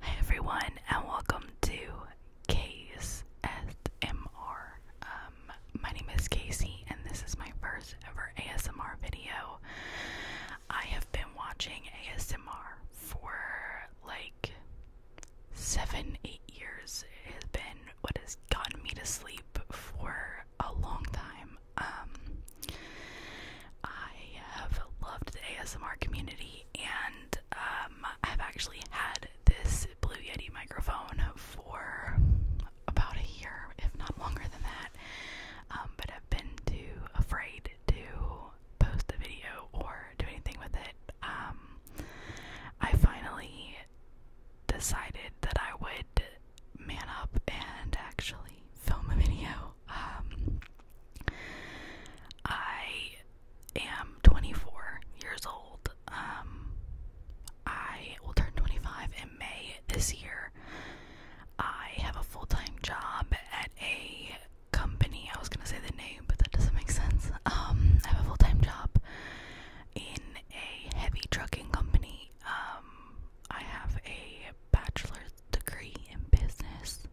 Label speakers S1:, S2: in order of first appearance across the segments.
S1: Hi everyone and welcome to K's SMR. Um, my name is Casey and this is my first ever ASMR video. I have been watching ASMR for like seven, eight years. It has been what has gotten me to sleep for a long time. Um, I have loved the ASMR community and um, I've actually had this Blue Yeti microphone for about a year, if not longer than that. Um, but I've been too afraid to post a video or do anything with it. Um, I finally decided that I would man up and actually film a video. I am 24 years old. Um, I will turn 25 in May this year. I have a full time job at a company. I was going to say the name, but that doesn't make sense. Um, I have a full time job in a heavy trucking company. Um, I have a bachelor's degree in business,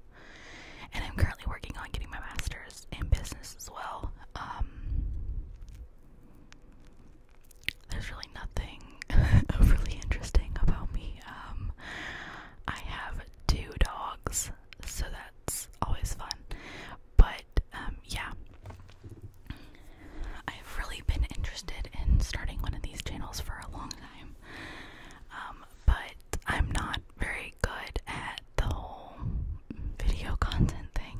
S1: and I'm currently working on getting my master's in business as well. Um, there's really nothing overly interesting about me. Um, I have two dogs, so that's always fun. But um, yeah, I've really been interested in starting one of these channels for a long time. Um, but I'm not very good at the whole video content thing.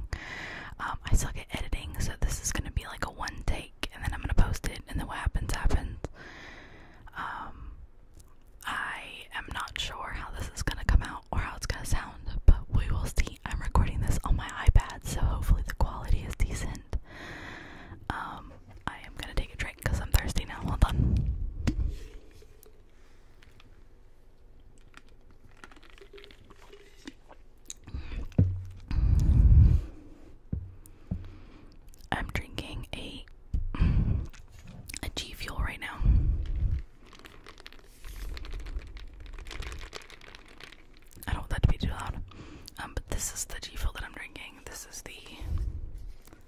S1: Um, I suck at editing, so this is gonna be like a one take, and then I'm gonna post it, and then what happens happens. Um, I am not sure how this is gonna come out or how it's gonna sound, but we will see. I'm recording this on my iPad, so hopefully the quality is decent. Um, I am gonna take a drink because I'm thirsty now. Hold on. I'm drinking a a G Fuel right now. I don't want that to be too loud. Um, but this is the G Fuel that I'm drinking. This is the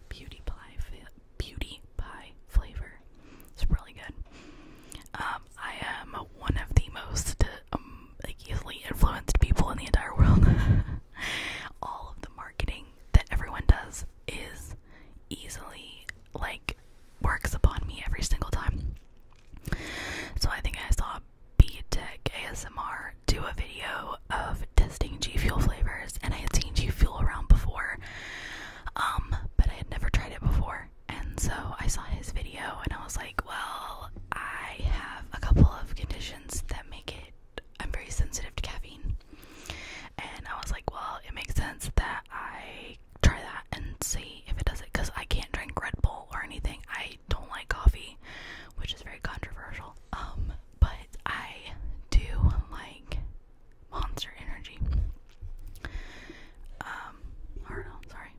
S1: Beauty Pie beauty pie flavor. It's really good. Um, I am one of the most um, easily influenced people in the entire world. All of the marketing that everyone does is easily like works upon me every single time. So I think I saw BTech ASMR do a video of testing G Fuel flavors, and I had seen G Fuel around before, um, but I had never tried it before. And so I saw his video, and I was like, well, I have a couple of conditions that make it, I'm very sensitive to caffeine. And I was like, well, it makes sense that I try that and see if it does it because I can't drink Red Bull or anything. I don't like coffee, which is very controversial. Um, but I do like monster energy. Um, sorry.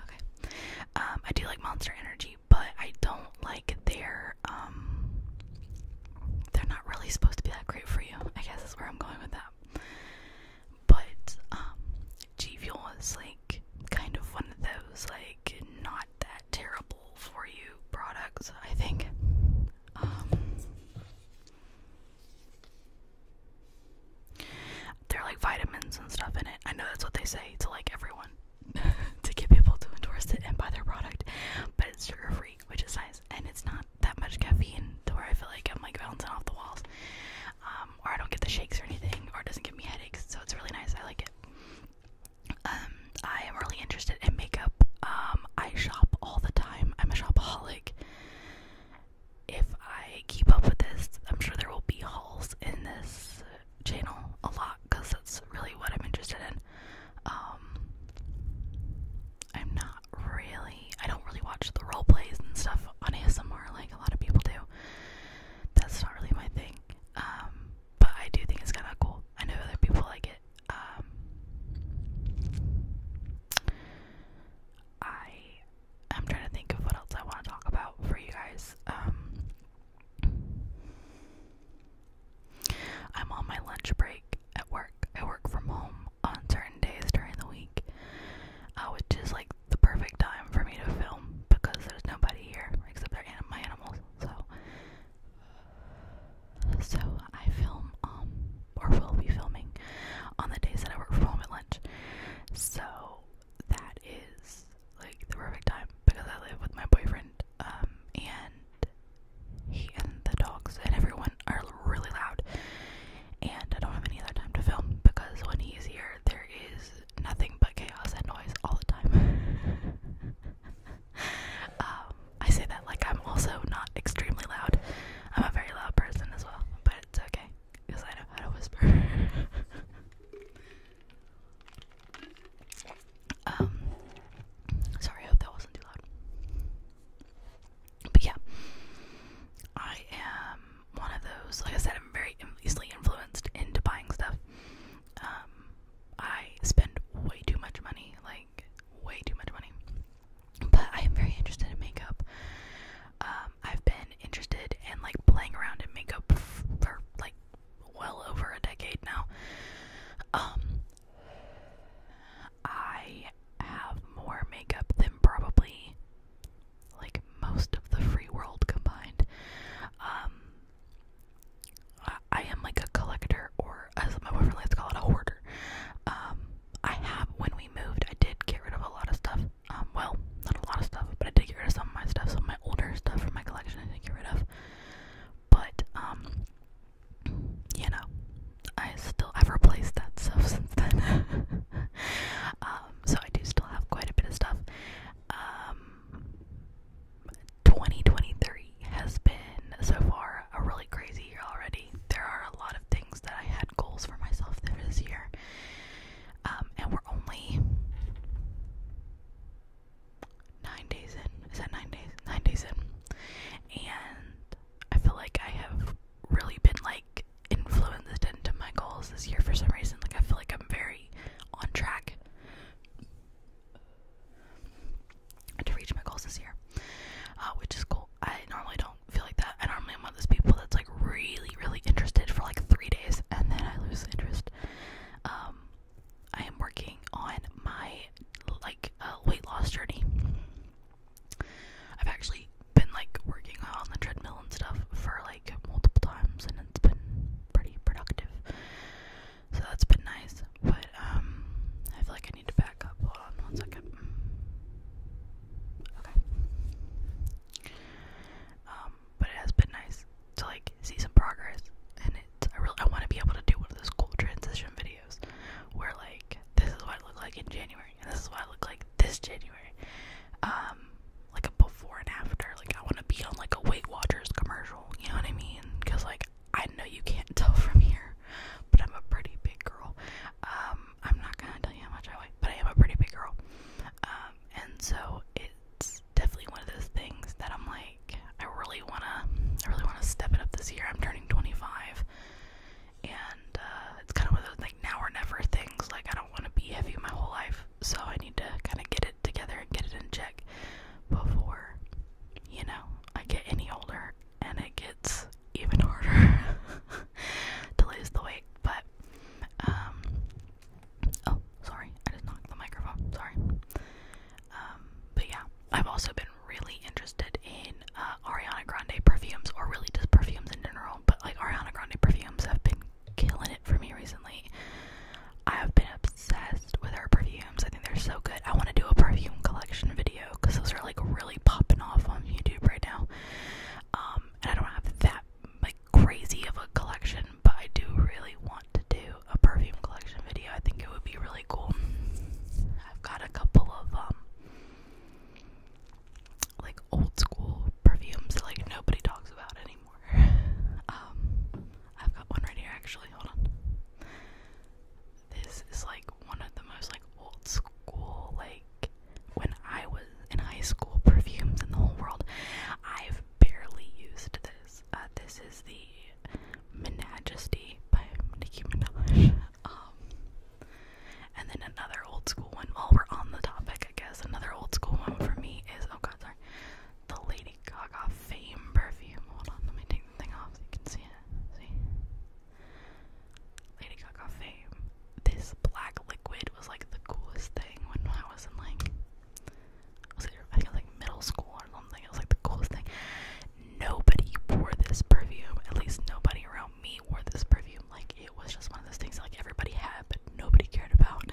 S1: Okay. Um, I do like monster energy, but I don't like their, um, they're not really supposed to be that great for you. I guess that's where I'm going with that. But, um, G Fuel is like kind of one of those, like, not that terrible for you products, I think. Um, they're like vitamins and stuff in it. I know that's what they say to like everyone to get people to endorse it and buy their product, but it's sugar free, which is nice, and it's not that much caffeine to where I feel like I'm like bouncing off the walls, um, or I don't get the shakes or anything, or it doesn't give me headaches. So it's really nice. I like it. Um, I am really interested in makeup. Um, I shop all the time. I'm a shopaholic. If I keep up with this, I'm sure there will be hauls in this channel a lot because that's really what I'm interested in. Um, I'm not really, I don't really watch the role plays and stuff on ASMR like a lot of people do. That's not really my thing. Um, but I do think it's kind of cool. I know other people like it um, I am trying to think of what else I want to talk about for you guys. Um, I'm on my lunch break at work. I work from home on certain days during the week, uh, which is like the perfect time for me to film because there's nobody here except my animals. So so I film, um, or will be filming on the days that I work from home at lunch. So that is like the perfect time because I live with my boyfriend, um, and he and the dogs and everyone are really loud. And I don't have any other time to film because when he's here, there is nothing but chaos and noise all the time. Um, I say that like I'm also not extremely loud. I'm a very loud person as well, but it's okay because I know how to whisper. um, sorry, I hope that wasn't too loud. But yeah, I am one of those. Like I said, I'm very easily influenced into buying stuff. Um, I spend way too much money. Like way too much money. But I am very interested in makeup. Um, I've been interested in like playing around in makeup for like well over a decade now. Um, I have more makeup than probably like most of the free world combined. Um, I, I am like a collector, or as my boyfriend likes to call it, a hoarder. Um, I have, when we moved, I did get rid of a lot of stuff. Um, well, not a lot of stuff, but I did get rid of some of my stuff, some of my older stuff from my collection I didn't get rid of. But, um, you know, I still have replaced that stuff since then. um, so I do still have quite a bit of stuff. Um, 2023 has been so far a really crazy year already. There are a lot of things that I had goals for myself this year, um, and we're only nine days in. Is that nine days? Nine days in, and I feel like I have really been like influenced into my goals this year for some reason. Like I feel like I'm very on track to reach my goals this year, uh, which is cool. I normally don't feel like that. I normally am one of those people that's like really, really interested for like three days and then I lose interest. Um, I am working on my like uh, weight loss journey. I've actually been like working on the treadmill and stuff for like multiple times, and it's been pretty productive. So that's been nice. But um I feel like I need to back up. Hold on one second. Okay. Um, but it has been nice to like see some progress and it's I really I wanna be able to do one of those cool transition videos where like this is what I look like in January and this is what I look like this January. Um like a before and after. Like I want to be on like a Weight Watchers commercial. You know what I mean? Because like I know you can't tell from here, but I'm a pretty big girl. Um, I'm not gonna tell you how much I weigh, but I am a pretty big girl. Um, and so it's definitely one of those things that I'm like, I really wanna, I really wanna step it up this year. I'm turning 25, and uh, it's kind of one of those like now or never things. Like I don't want to be heavy my whole life, so I need to kind of get it together and get it in check before, you know, I get any older and it gets even harder Delays the weight. But, um, oh, sorry, I just knocked the microphone. Sorry. Um, but yeah, I've also been really interested in uh, Ariana Grande perfumes, or really just perfumes in general. But like Ariana Grande perfumes have been killing it for me recently. I have been obsessed with her perfumes. I think they're so good. I want to do a perfume collection video because those are like really popping off on YouTube right now. Um, and I don't have that like crazy of a collection, but I do really want to do a perfume collection video. I think it would be really cool. I've got a couple of um, like old school perfumes that like nobody talks about anymore. Um, I've got one right here actually. Hold on this is like one of the most like old school like when I was in high school perfumes in the whole world. I've barely used this. Uh, this is the Menagesty by Nicki Minaj. Um, and then another old school one. While we're on the topic, I guess another old school one for me is oh god, sorry, the Lady Gaga Fame perfume. Hold on, let me take the thing off so you can see it. See, Lady Gaga fame. This black liquid was like the coolest thing when I was in like I think it like middle school or something. It was like the coolest thing. Nobody wore this perfume. At least nobody around me wore this perfume. Like it was just one of those things like everybody had, but nobody cared about.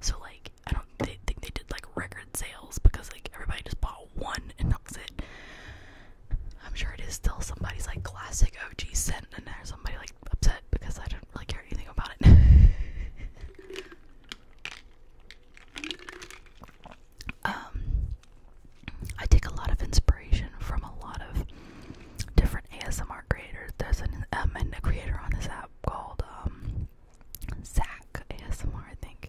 S1: So like I don't think they did like record sales because like everybody just bought one and that was it. I'm sure it is still somebody's like classic OG scent, and there's somebody like upset because I don't really care anything about it. um, I take a lot of inspiration from a lot of different ASMR creators. There's an um, and a creator on this app called um, Zach ASMR, I think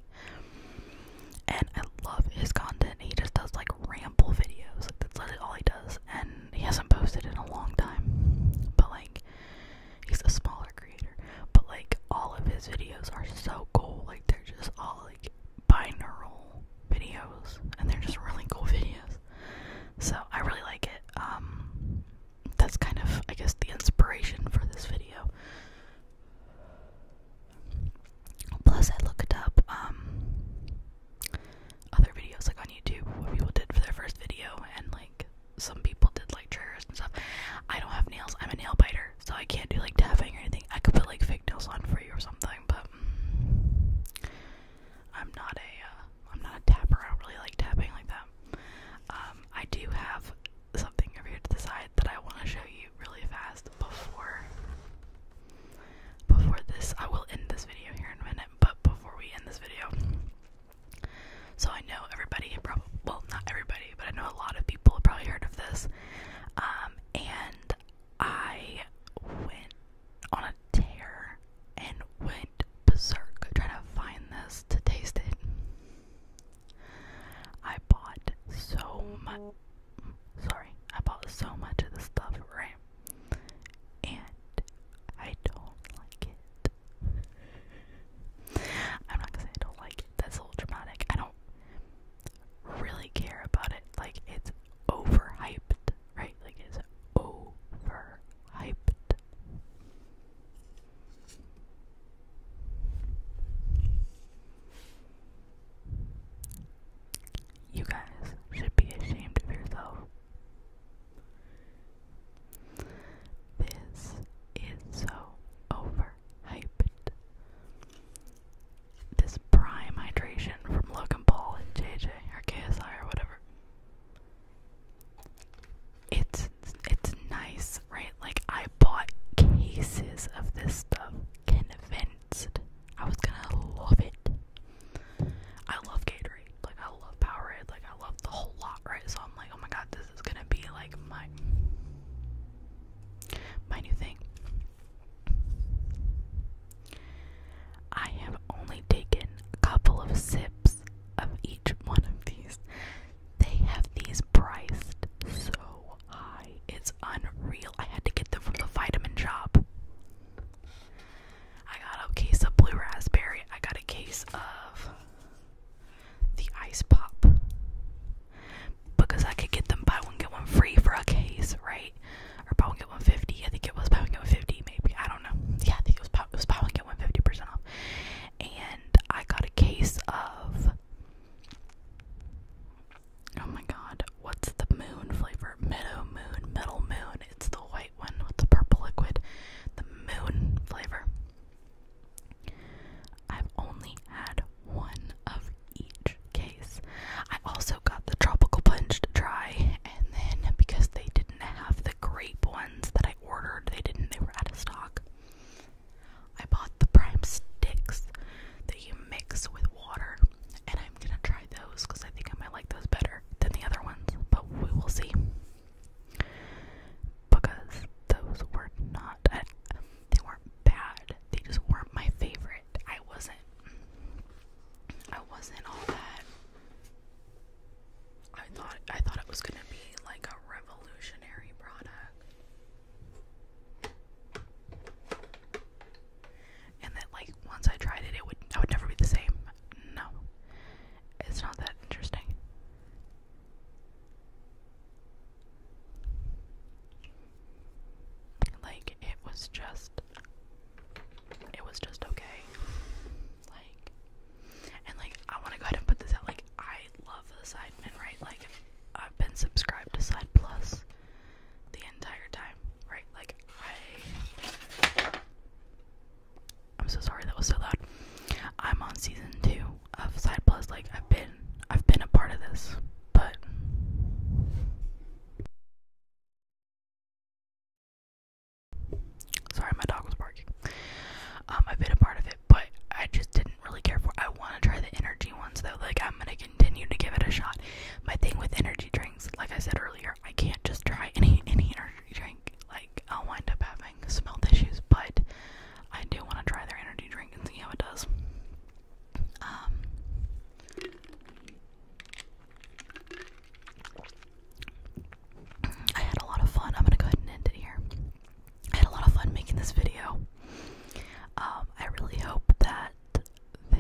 S1: and I love his content. He just does like ramble videos. that's literally all he does. And he hasn't posted in a long time. But like he's a smaller creator. But like all of his videos are so cool. Like they're just all like binaural videos. And they're just really cool videos. So I really like it. Um that's kind of I guess the inspiration for this video. Plus, I looked up um, other videos like on YouTube what people did for their first video, and like some people did like triggers and stuff. I don't have nails; I'm a nail biter, so I can't do like tapping or anything. I could put like fake nails on for you or something, but mm, I'm not a uh, I'm not a tapper. I don't really like tapping like that. Um, I do have something over here to the side that I want to show you really fast before before this. I will end this video here in a minute, but before we end this video, so I know everybody probably well not everybody, but I know a lot of people have probably heard of this. Um, and I went on a tear and went berserk trying to find this to taste it. I bought so much. Sorry, I bought so much of the stuff, right? And I don't like it. I'm not gonna say I don't like it. That's a little dramatic. I don't really care about it. Like it's overhyped, right? Like it's overhyped. You guys should be ashamed of yourself. This is so overhyped. This prime hydration from Logan Paul and JJ or KSI or whatever. It's it's nice, right? Like I bought cases of this stuff. Can I was gonna love it. I love Gatorade, like I love Powerade, like I love the whole lot, right? So I'm like, oh my god, this is gonna be like my my new thing. I have only taken a couple of sips of each one of these. They have these priced so high. It's unreal. I had to get them from the vitamin shop. I got a case of blue raspberry. I got a case of the ice pop. Because I could get them buy one, get one free for a case, right? Or buy one, get one fifty. I think it was buy one, get one fifty, maybe. I don't know. Yeah, I think it was buy, it was buy one, get one fifty percent off. And I got a case of Oh my god, what's the moon flavor? Meadow moon, metal moon. It's the white one with the purple liquid. The moon flavor. I've only had one of each case. I also got the tropical punch to try, and then because they didn't have the grape ones that I ordered, they didn't, they were out of stock. I bought the prime sticks that you mix with water, and I'm gonna try those because I think I might like those better than the other ones, but we will see. Because those were not, they weren't bad, they just weren't my favorite. I wasn't, I wasn't all that. I thought I thought it was gonna be like a revolutionary product. And then, like, once I tried it, it would I would never be the same. No, it's not that interesting. Like, it was just, it was just okay. Like, and like, I want to go ahead and put this out. Like, I love the Sidemen, right? Like, I've been subscribed to Side Plus the entire time, right? Like I I'm so sorry that was so loud. I'm on season two of Side Plus. Like I've been I've been a part of this, but sorry my dog was barking. Um I've been a part of it, but I just didn't really care for. I want to try the energy ones though. Like I'm gonna continue to give it a shot. My thing with energy drinks, like I said earlier, I can't just try any any energy drink. Like I'll wind up having smelt issues, but I do want to try their energy drink and see how it does. Um, I had a lot of fun. I'm gonna go ahead and end it here. had a lot of fun making this video. Um, I really hope that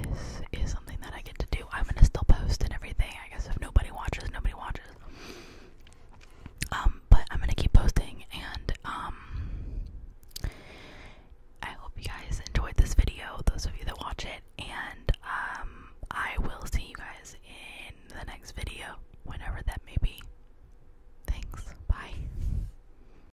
S1: this is something that I get to do. I'm gonna still post and everything. I guess if nobody watches, nobody watches. Um, but I'm gonna keep posting and um I hope you guys enjoyed this video, those of you that watch it, and um I will see you guys in the next video, whenever that may be. Thanks. Bye.